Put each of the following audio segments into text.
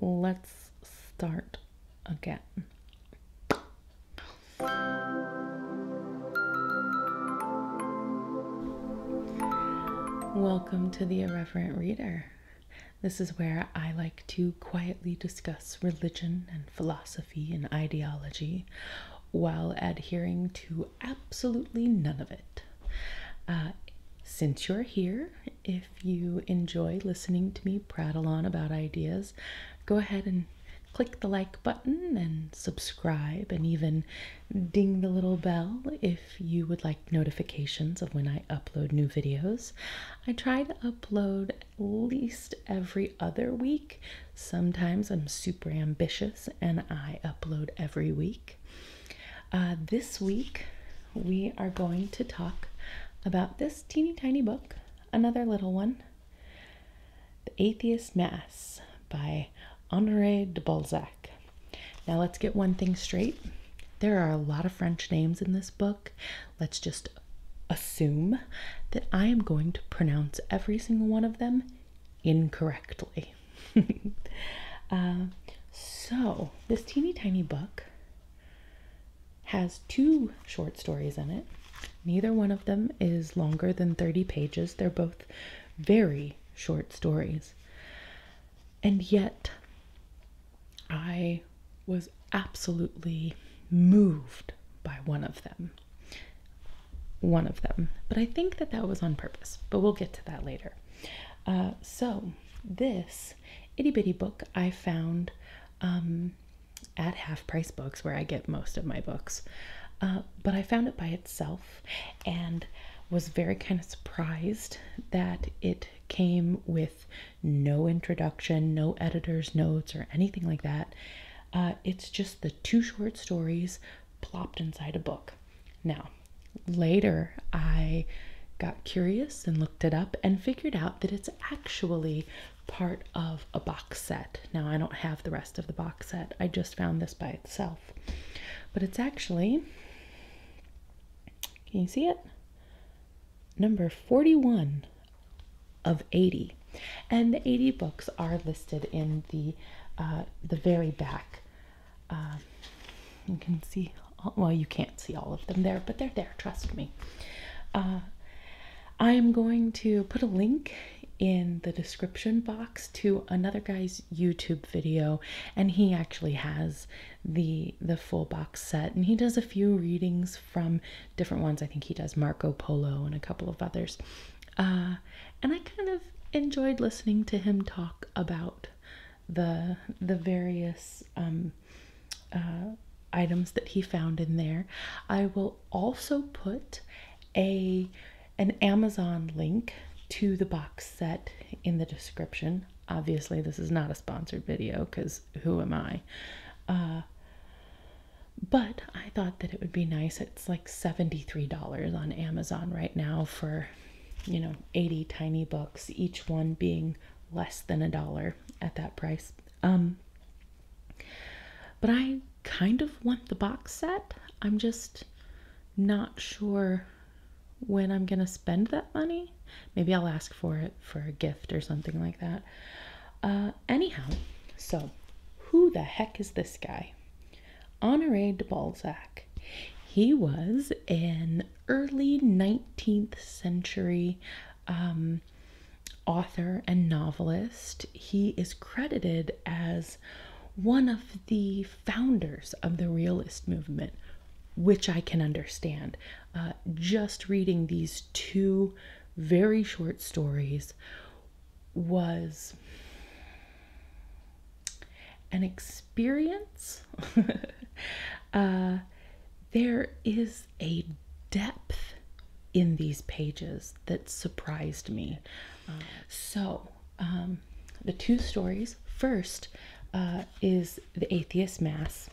Let's start again. Welcome to the Irreverent Reader. This is where I like to quietly discuss religion and philosophy and ideology while adhering to absolutely none of it. Uh, since you're here if you enjoy listening to me prattle on about ideas, go ahead and click the like button and subscribe and even ding the little bell if you would like notifications of when I upload new videos. I try to upload at least every other week. Sometimes I'm super ambitious and I upload every week. Uh, this week, we are going to talk about this teeny tiny book, another little one The Atheist Mass by Honore de Balzac. Now, let's get one thing straight. There are a lot of French names in this book. Let's just assume that I am going to pronounce every single one of them incorrectly. Uh, so, this teeny tiny book has two short stories in it. Neither one of them is longer than 30 pages. They're both very short stories. And yet, I was absolutely moved by one of them. One of them. But I think that that was on purpose, but we'll get to that later. Uh, so, this itty bitty book I found um, at Half Price Books, where I get most of my books. Uh, but I found it by itself and was very kind of surprised that it came with no introduction, no editor's notes, or anything like that. Uh, it's just the two short stories plopped inside a book. Now, later I got curious and looked it up and figured out that it's actually part of a box set. Now, I don't have the rest of the box set, I just found this by itself. But it's actually, can you see it? Number 41 of 80. And the 80 books are listed in the uh, the very back um, you can see, well, you can't see all of them there, but they're there, trust me. Uh, I am going to put a link in the description box to another guy's YouTube video and he actually has the the full box set and he does a few readings from different ones. I think he does Marco Polo and a couple of others. Uh, and I kind of enjoyed listening to him talk about the the various um, uh, items that he found in there. I will also put a an Amazon link to the box set in the description. Obviously, this is not a sponsored video because who am I? Uh, but I thought that it would be nice. It's like $73 on Amazon right now for you know, 80 tiny books, each one being less than a dollar at that price. Um, but I kind of want the box set. I'm just not sure when I'm going to spend that money. Maybe I'll ask for it for a gift or something like that. Uh, anyhow, so who the heck is this guy? Honore de Balzac. He was an early 19th century um, author and novelist. He is credited as one of the founders of the realist movement, which I can understand. Uh, just reading these two very short stories was an experience, uh, there is a depth in these pages that surprised me. so, um, the two stories first uh, is the Atheist Mass.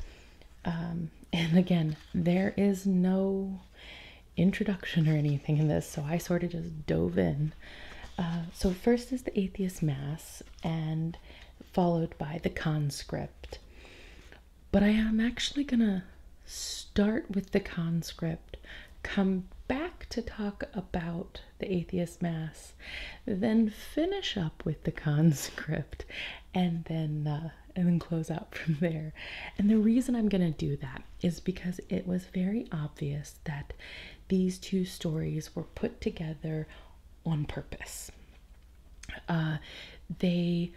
Um, and again, there is no introduction or anything in this, so I sort of just dove in. Uh, so, first is the Atheist Mass and followed by the conscript. But I am actually going to start with the conscript, come back to talk about the atheist mass, then finish up with the conscript, and then uh, and then close out from there. And the reason I'm going to do that is because it was very obvious that these two stories were put together on purpose. Uh, they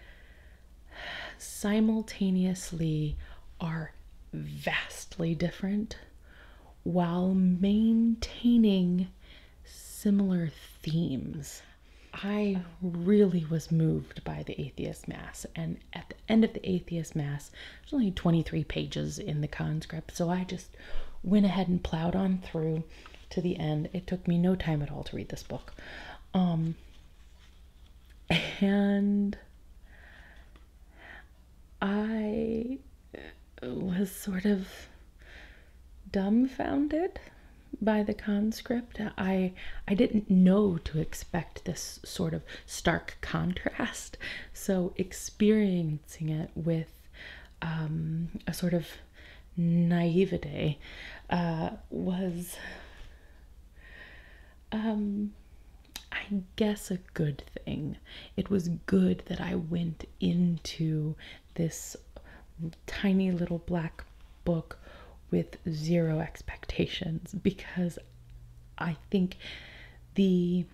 simultaneously are vastly different while maintaining similar themes. I really was moved by the Atheist Mass, and at the end of the Atheist Mass, there's only 23 pages in the conscript, so I just went ahead and plowed on through to the end. It took me no time at all to read this book. Um, and I was sort of dumbfounded by the conscript. I I didn't know to expect this sort of stark contrast. So experiencing it with um, a sort of naivete uh, was, um, I guess, a good thing. It was good that I went into this tiny little black book with zero expectations because I think the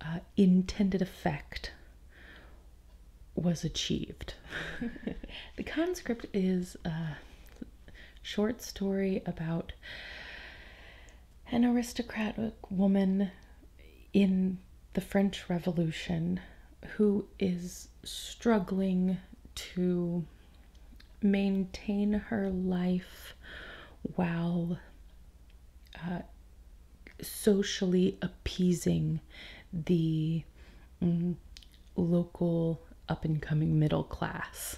uh, intended effect was achieved. the conscript is a short story about an aristocratic woman in the French Revolution who is struggling to maintain her life while socially appeasing the mm, local up and coming middle class.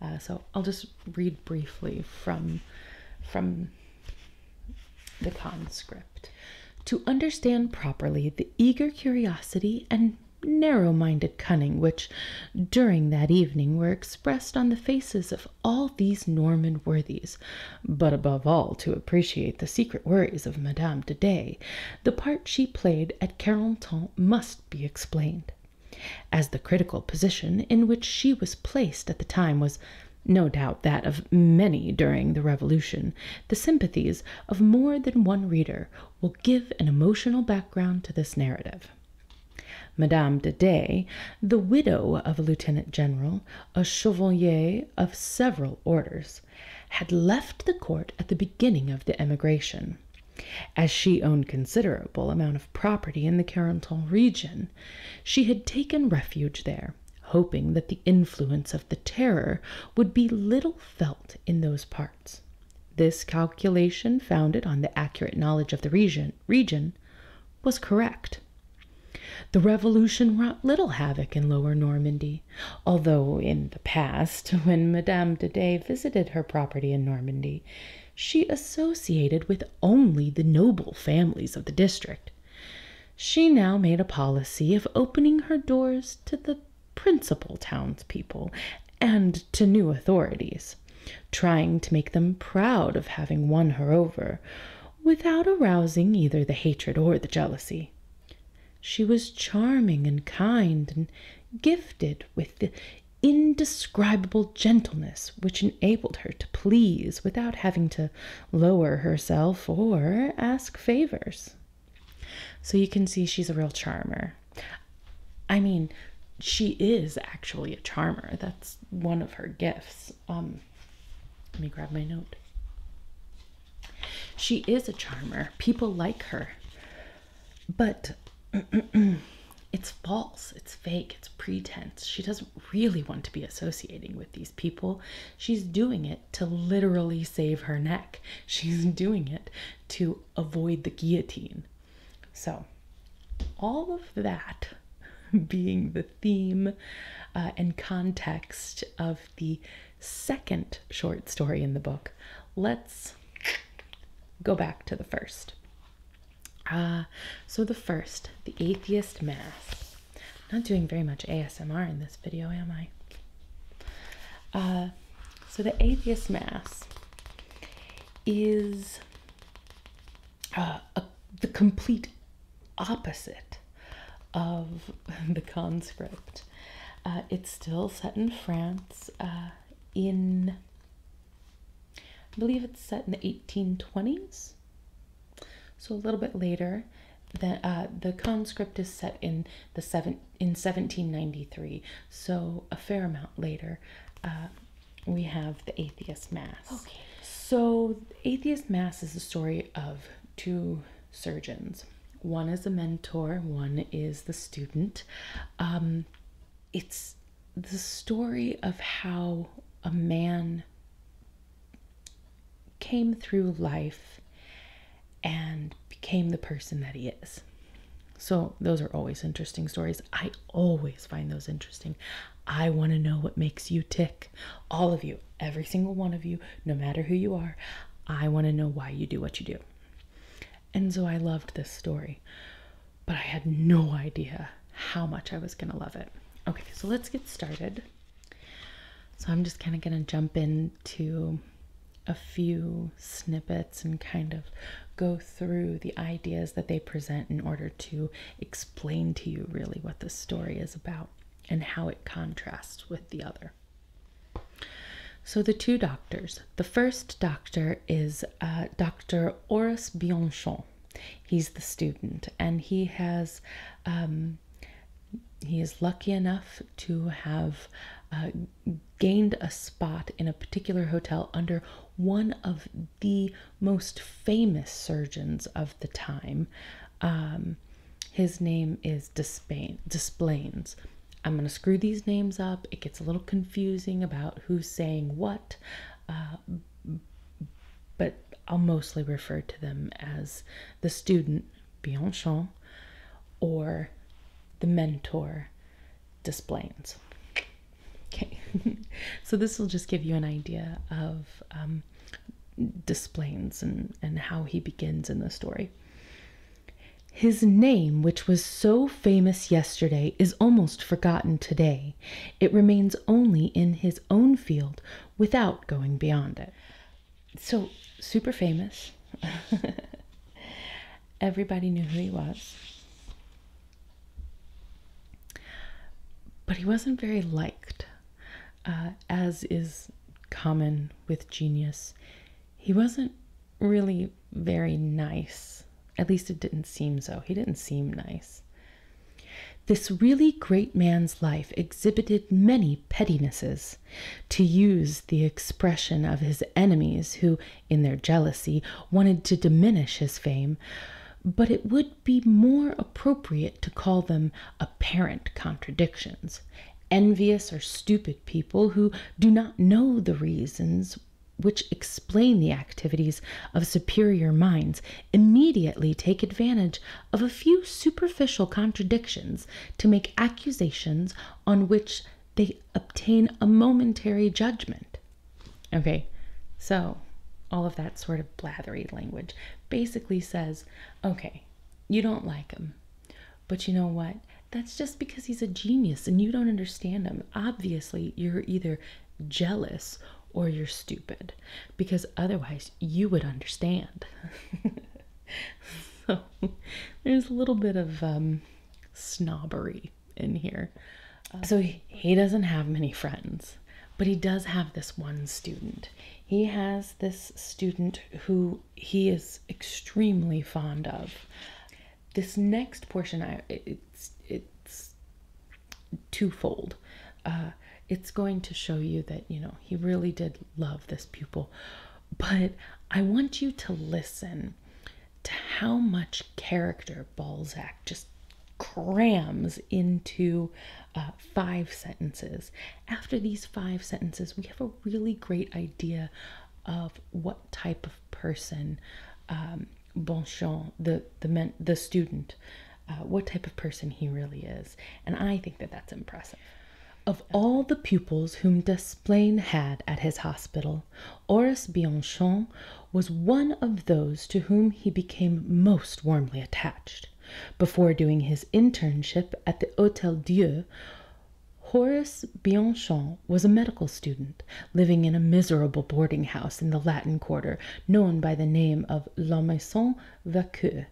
Uh, so I'll just read briefly from from the conscript. To understand properly the eager curiosity and narrow minded cunning which, during that evening, were expressed on the faces of all these Norman worthies, but above all to appreciate the secret worries of Madame de Dey, the part she played at Carentan must be explained, as the critical position in which she was placed at the time was no doubt that of many during the Revolution, the sympathies of more than one reader will give an emotional background to this narrative. Madame de Day, the widow of a lieutenant general, a chevalier of several orders, had left the court at the beginning of the emigration. As she owned considerable amount of property in the Carentan region, she had taken refuge there, hoping that the influence of the Terror would be little felt in those parts. This calculation, founded on the accurate knowledge of the region, region, was correct. The revolution wrought little havoc in lower Normandy, although in the past, when Madame de Dey visited her property in Normandy, she associated with only the noble families of the district. She now made a policy of opening her doors to the principal townspeople and to new authorities, trying to make them proud of having won her over without arousing either the hatred or the jealousy. She was charming and kind and gifted with the indescribable gentleness which enabled her to please without having to lower herself or ask favors. So you can see she's a real charmer. I mean, she is actually a charmer. That's one of her gifts. Um, let me grab my note. She is a charmer. People like her. But it's false. It's fake. It's pretense. She doesn't really want to be associating with these people. She's doing it to literally save her neck. She's doing it to avoid the guillotine. So, all of that being the theme uh, and context of the second short story in the book, let's go back to the first. Uh, so, the first, The Atheist Mass. Not doing very much ASMR in this video, am I? Uh, so, The Atheist Mass is uh, the complete opposite of the conscript. Uh, it's still set in France uh, in, I believe it's set in the 1820s, so a little bit later. The, uh, the conscript is set in the seven in 1793, so a fair amount later we have the Atheist Mass. Okay. So, Atheist Mass is the story of two surgeons. One is a mentor, one is the student. Um, it's the story of how a man came through life and became the person that he is. So, those are always interesting stories. I always find those interesting. I want to know what makes you tick. All of you, every single one of you, no matter who you are, I want to know why you do what you do. And so, I loved this story, but I had no idea how much I was going to love it. Okay, so let's get started. So, I'm just kind of going to jump into a few snippets and kind of go through the ideas that they present in order to explain to you really what the story is about and how it contrasts with the other. So, the two doctors. The first doctor is uh, Dr. Horace Bianchon. He's the student, and he has. Um, he is lucky enough to have uh, gained a spot in a particular hotel under one of the most famous surgeons of the time. Um, his name is Despain, I'm going to screw these names up. It gets a little confusing about who's saying what, uh, but I'll mostly refer to them as the student, Bianchon, or the mentor, Desplaines. Okay, so this will just give you an idea of um, and, and how he begins in the story. His name, which was so famous yesterday, is almost forgotten today. It remains only in his own field without going beyond it. So, super famous. Everybody knew who he was. But he wasn't very liked, uh, as is common with genius. He wasn't really very nice. At least it didn't seem so. He didn't seem nice. This really great man's life exhibited many pettinesses, to use the expression of his enemies, who in their jealousy, wanted to diminish his fame, but it would be more appropriate to call them apparent contradictions. Envious or stupid people who do not know the reasons which explain the activities of superior minds immediately take advantage of a few superficial contradictions to make accusations on which they obtain a momentary judgment. Okay, so all of that sort of blathery language basically says, okay, you don't like him, but you know what? That's just because he's a genius and you don't understand him. Obviously, you're either jealous or you're stupid because otherwise you would understand. so there's a little bit of um, snobbery in here. Uh, so he, he doesn't have many friends, but he does have this one student. He has this student who he is extremely fond of. This next portion, I, it's it's twofold. Uh, it's going to show you that you know he really did love this pupil, but I want you to listen to how much character Balzac just crams into uh, five sentences. After these five sentences, we have a really great idea of what type of person um, the the the student, uh, what type of person he really is, and I think that that's impressive. Of all the pupils whom Desplein had at his hospital, Horace Bianchon was one of those to whom he became most warmly attached. Before doing his internship at the Hotel Dieu, Horace Bianchon was a medical student, living in a miserable boarding house in the Latin Quarter known by the name of La Maison Vauquer.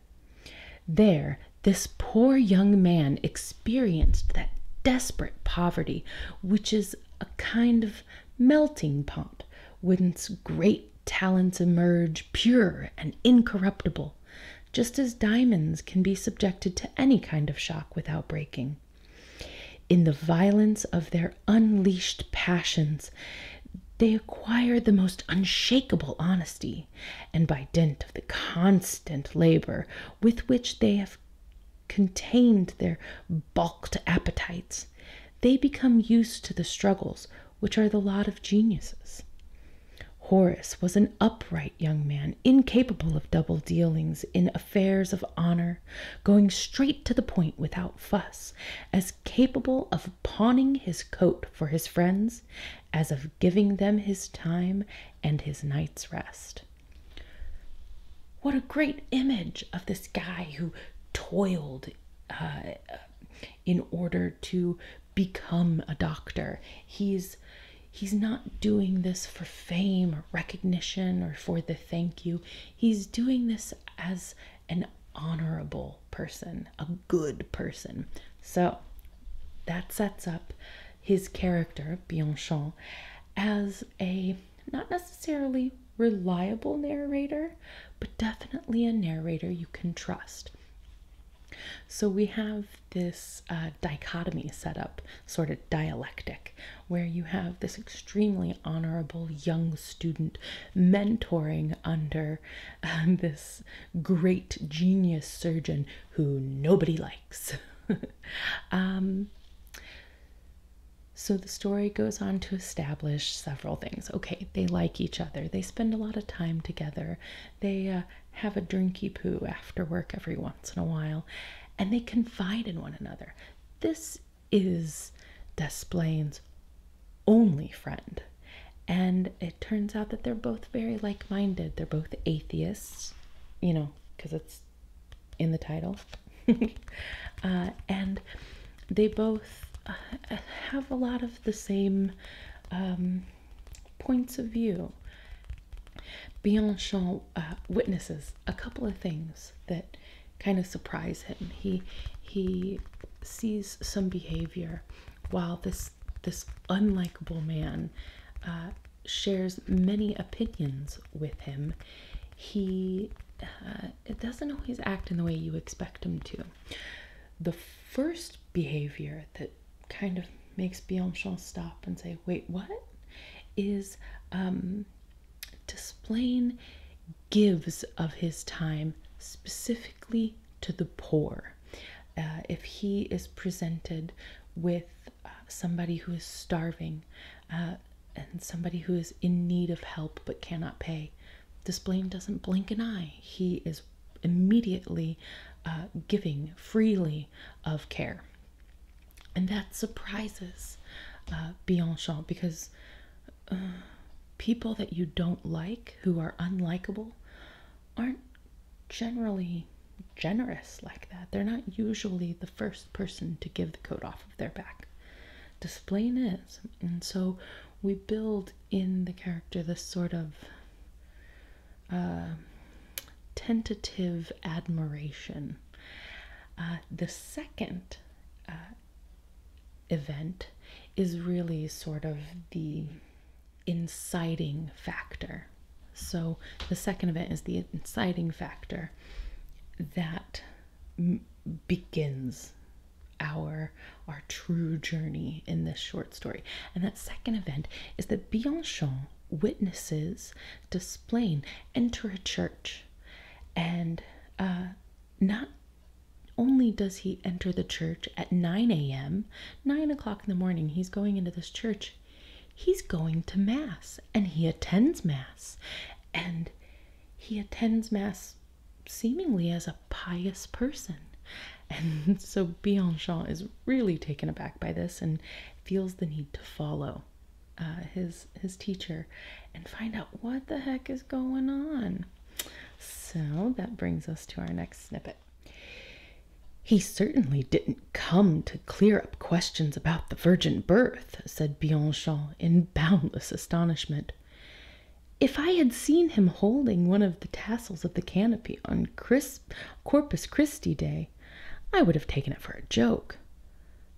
There, this poor young man experienced that desperate poverty which is a kind of melting pot whence great talents emerge pure and incorruptible, just as diamonds can be subjected to any kind of shock without breaking. In the violence of their unleashed passions, they acquire the most unshakable honesty, and by dint of the constant labor with which they contained their balked appetites, they become used to the struggles which are the lot of geniuses. Horace was an upright young man, incapable of double dealings in affairs of honor, going straight to the point without fuss, as capable of pawning his coat for his friends as of giving them his time and his night's rest. What a great image of this guy who toiled uh, in order to become a doctor. He's he's not doing this for fame or recognition or for the thank you. He's doing this as an honorable person, a good person. So that sets up his character, Bianchon, as a not necessarily reliable narrator, but definitely a narrator you can trust. So we have this uh, dichotomy set up, sort of dialectic, where you have this extremely honorable young student mentoring under um, this great genius surgeon who nobody likes. Um, so the story goes on to establish several things. Okay, they like each other. They spend a lot of time together. They uh, have a drinky poo after work every once in a while, and they confide in one another. This is Desplain's only friend. And it turns out that they're both very like minded. They're both atheists, you know, because it's in the title. Uh, and they both uh, have a lot of the same um, points of view. Bianchon uh, witnesses a couple of things that kind of surprise him. He he sees some behavior while this this unlikable man shares many opinions with him, he uh, it doesn't always act in the way you expect him to. The first behavior that kind of makes Bianchon stop and say, "Wait, what?" is um, displaying gives of his time specifically to the poor. Uh, if he is presented with uh, somebody who is starving uh, and somebody who is in need of help but cannot pay. This blame doesn't blink an eye. He is immediately uh, giving freely of care. And that surprises uh, Bianchon because people that you don't like, who are unlikable, aren't generally generous like that. They're not usually the first person to give the coat off of their back. Displain is. And so we build in the character the sort of uh, tentative admiration. Uh, the second uh, event is really sort of the inciting factor so the second event is the inciting factor that begins our our true journey in this short story. And that second event is that Bianchon witnesses Desplaine enter a church, and uh, not only does he enter the church at 9 a.m., 9 o'clock in the morning, he's going into this church he's going to Mass and he attends Mass and he attends Mass seemingly as a pious person. And so Bianchon is really taken aback by this and feels the need to follow uh, his his teacher and find out what the heck is going on. So that brings us to our next snippet. He certainly didn't come to clear up questions about the virgin birth, said Bianchon in boundless astonishment. If I had seen him holding one of the tassels of the canopy on crisp, Corpus Christi Day, I would have taken it for a joke.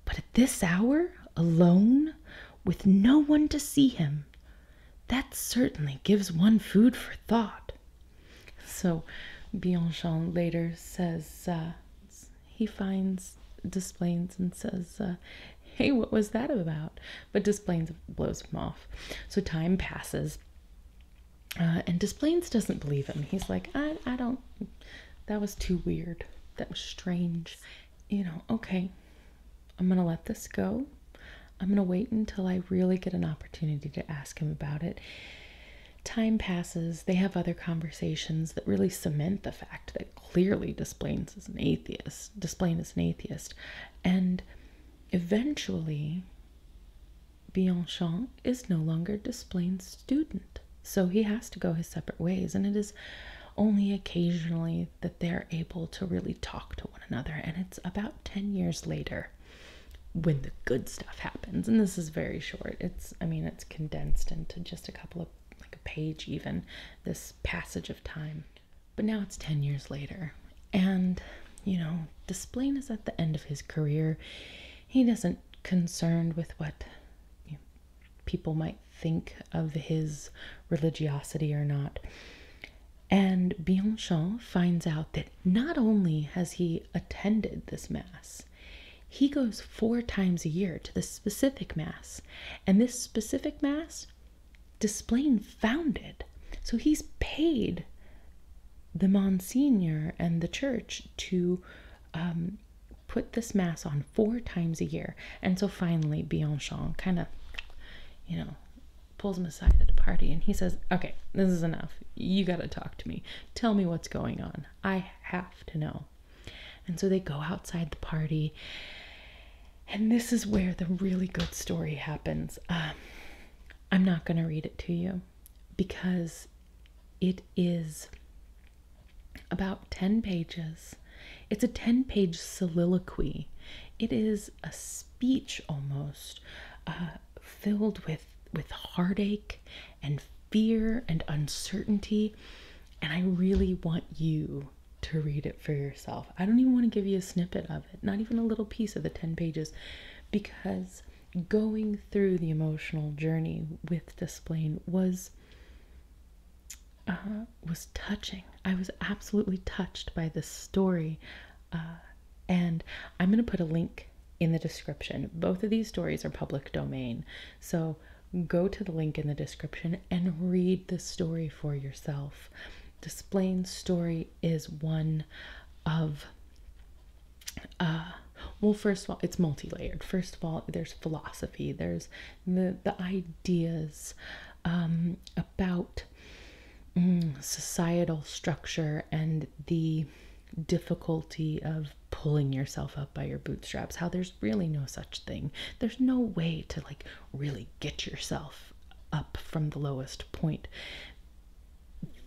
But at this hour, alone, with no one to see him, that certainly gives one food for thought. So Bianchon later says, uh, he finds Desplaines and says, uh, Hey, what was that about? But Desplaines blows him off. So time passes, uh, and Desplaines doesn't believe him. He's like, I, I don't, that was too weird. That was strange. You know, okay, I'm going to let this go. I'm going to wait until I really get an opportunity to ask him about it. Time passes, they have other conversations that really cement the fact that clearly Desplaines is an atheist. Desplaines is an atheist. And eventually, Bianchon is no longer Desplaines' student. So he has to go his separate ways. And it is only occasionally that they're able to really talk to one another. And it's about 10 years later when the good stuff happens and this is very short it's i mean it's condensed into just a couple of like a page even this passage of time but now it's 10 years later and you know desplain is at the end of his career he doesn't concern with what people might think of his religiosity or not and Bianchon finds out that not only has he attended this mass, he goes four times a year to the specific mass, and this specific mass, Desplain founded. So he's paid the Monsignor and the church to um, put this mass on four times a year. And so finally, Bianchon kind of, you know, pulls him aside at a party and he says, Okay, this is enough. You got to talk to me. Tell me what's going on. I have to know. And so they go outside the party. And this is where the really good story happens. Um, I'm not going to read it to you because it is about 10 pages. It's a 10 page soliloquy. It is a speech almost uh, filled with, with heartache and fear and uncertainty. And I really want you to read it for yourself. I don't even want to give you a snippet of it, not even a little piece of the 10 pages, because going through the emotional journey with Desplain was uh, was touching. I was absolutely touched by this story, uh, and I'm gonna put a link in the description. Both of these stories are public domain. So go to the link in the description and read the story for yourself. Desplain's story is one of uh well first of all it's multi-layered first of all there's philosophy there's the the ideas um, about mm, societal structure and the difficulty of pulling yourself up by your bootstraps how there's really no such thing there's no way to like really get yourself up from the lowest point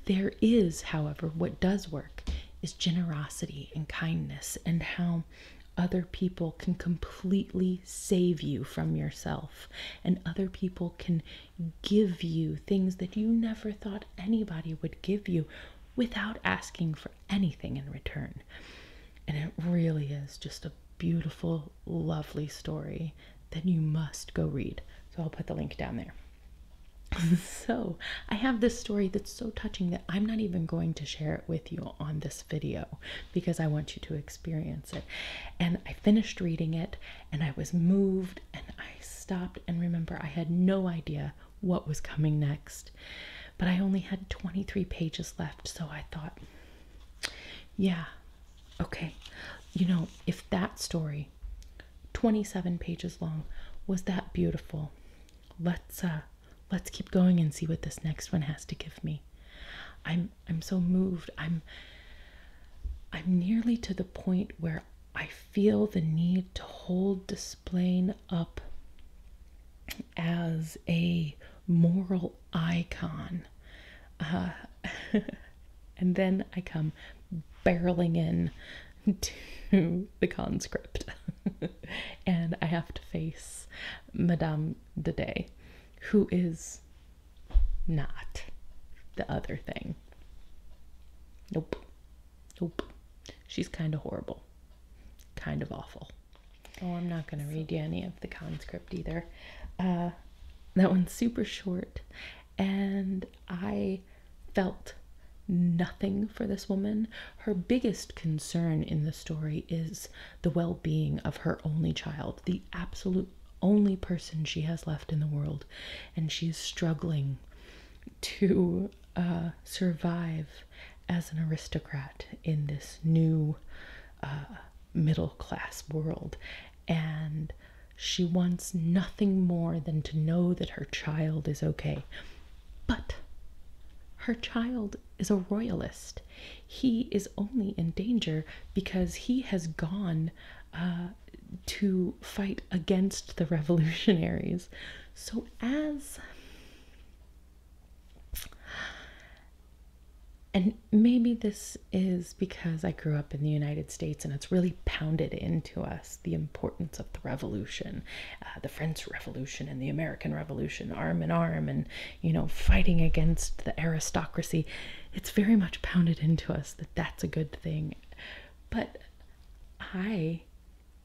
there is however what does work is generosity and kindness and how other people can completely save you from yourself and other people can give you things that you never thought anybody would give you without asking for anything in return. And it really is just a beautiful, lovely story that you must go read. So I'll put the link down there. so I have this story that's so touching that I'm not even going to share it with you on this video because I want you to experience it. And I finished reading it and I was moved and I stopped and remember I had no idea what was coming next. But I only had 23 pages left, so I thought, yeah, okay, you know, if that story, 27 pages long, was that beautiful, let's uh, let's keep going and see what this next one has to give me. I'm I'm so moved. I'm I'm nearly to the point where I feel the need to hold Desplain up as a moral icon. Uh, and then I come barreling in to the conscript and I have to face Madame de Day, who is not the other thing. Nope. Nope. She's kind of horrible, kind of awful. Oh, I'm not going to read you any of the conscript either. Uh, that one's super short, and I felt nothing for this woman. Her biggest concern in the story is the well being of her only child, the absolute only person she has left in the world, and she is struggling to uh, survive as an aristocrat in this new uh, middle class world. And she wants nothing more than to know that her child is okay. But her child is a royalist. He is only in danger because he has gone uh, to fight against the revolutionaries. So, as and maybe this is because I grew up in the United States and it's really pounded into us the importance of the revolution, uh, the French Revolution and the American Revolution, arm in arm, and you know, fighting against the aristocracy. It's very much pounded into us that that's a good thing. But I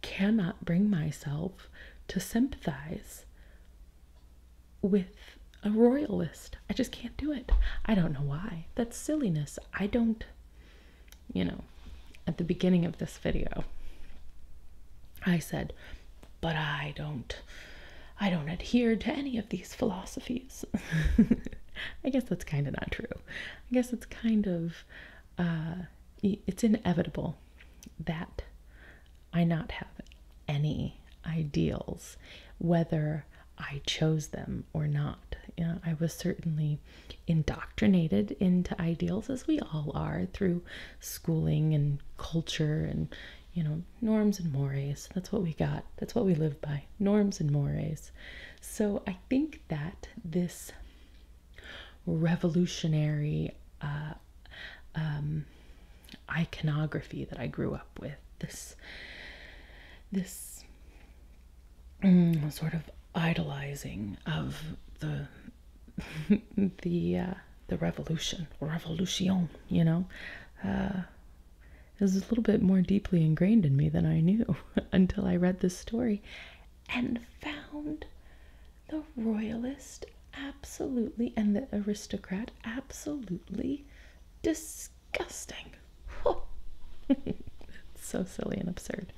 cannot bring myself to sympathize with a royalist. I just can't do it. I don't know why. That's silliness. I don't, you know, at the beginning of this video, I said, but I don't. I don't adhere to any of these philosophies. I guess that's kind of not true. I guess it's kind of uh, it's inevitable that I not have any ideals, whether I chose them or not. I was certainly indoctrinated into ideals, as we all are, through schooling and culture and, you know, norms and mores. That's what we got. That's what we live by norms and mores. So I think that this revolutionary uh, um, iconography that I grew up with, this this mm, sort of idolizing of the the uh, the revolution, revolution, you know. Uh, is a little bit more deeply ingrained in me than I knew until I read this story and found the royalist absolutely and the aristocrat absolutely disgusting. so silly and absurd.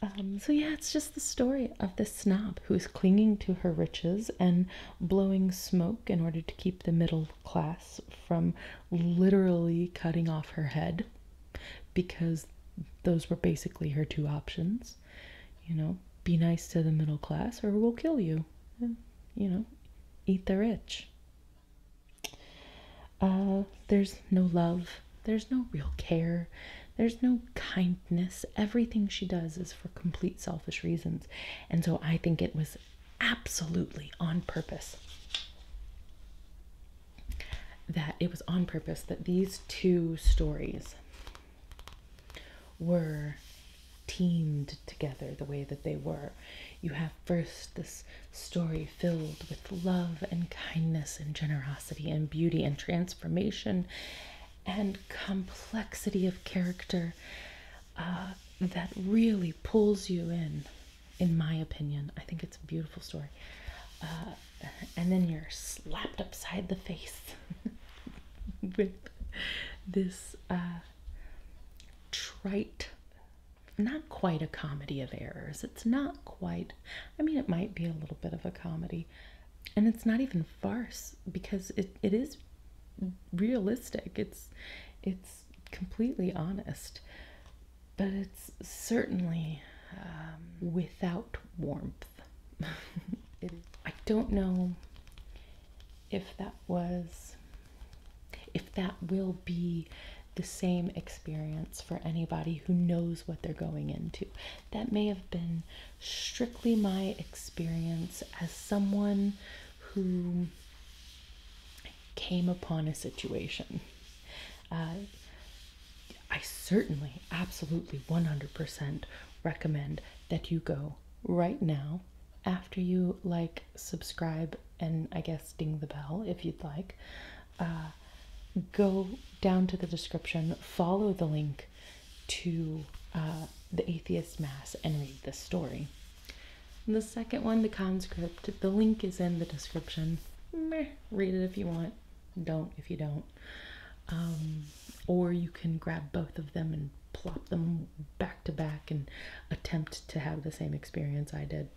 Um, so, yeah, it's just the story of this snob who is clinging to her riches and blowing smoke in order to keep the middle class from literally cutting off her head because those were basically her two options. You know, be nice to the middle class or we'll kill you. you know, eat the rich. Uh, there's no love. There's no real care. There's no kindness. Everything she does is for complete selfish reasons. And so I think it was absolutely on purpose that it was on purpose that these two stories were teamed together the way that they were. You have first this story filled with love and kindness and generosity and beauty and transformation and complexity of character uh, that really pulls you in in my opinion. I think it's a beautiful story. Uh, and then you're slapped upside the face with this uh, trite, not quite a comedy of errors. It's not quite, I mean, it might be a little bit of a comedy. And it's not even farce because it, it is realistic. It's it's completely honest, but it's certainly um, without warmth. I don't know if that was, if that will be the same experience for anybody who knows what they're going into. That may have been strictly my experience as someone who came upon a situation uh, I certainly, absolutely 100% recommend that you go right now after you like, subscribe, and I guess ding the bell if you'd like. Uh, go down to the description, follow the link to uh, the Atheist Mass, and read the story the second one, the conscript. The link is in the description. read it if you want. Don't if you don't. Um, or you can grab both of them and plop them back to back and attempt to have the same experience I did.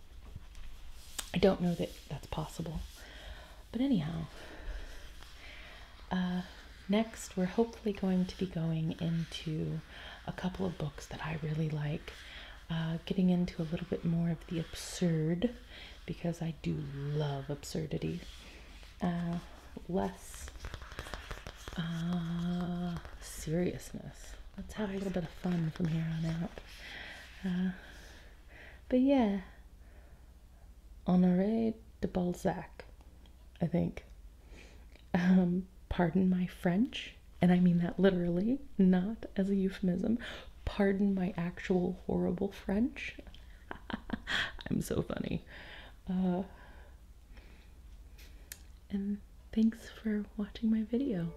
I don't know that that's possible. But anyhow, uh, next we're hopefully going to be going into a couple of books that I really like uh, getting into a little bit more of the absurd because I do love absurdity. Uh, less uh, seriousness. Let's have a little bit of fun from here on out. Uh, but yeah, Honoré de Balzac, I think. Um, pardon my French and I mean that literally, not as a euphemism. Pardon my actual horrible French. I'm so funny. Uh, and thanks for watching my video.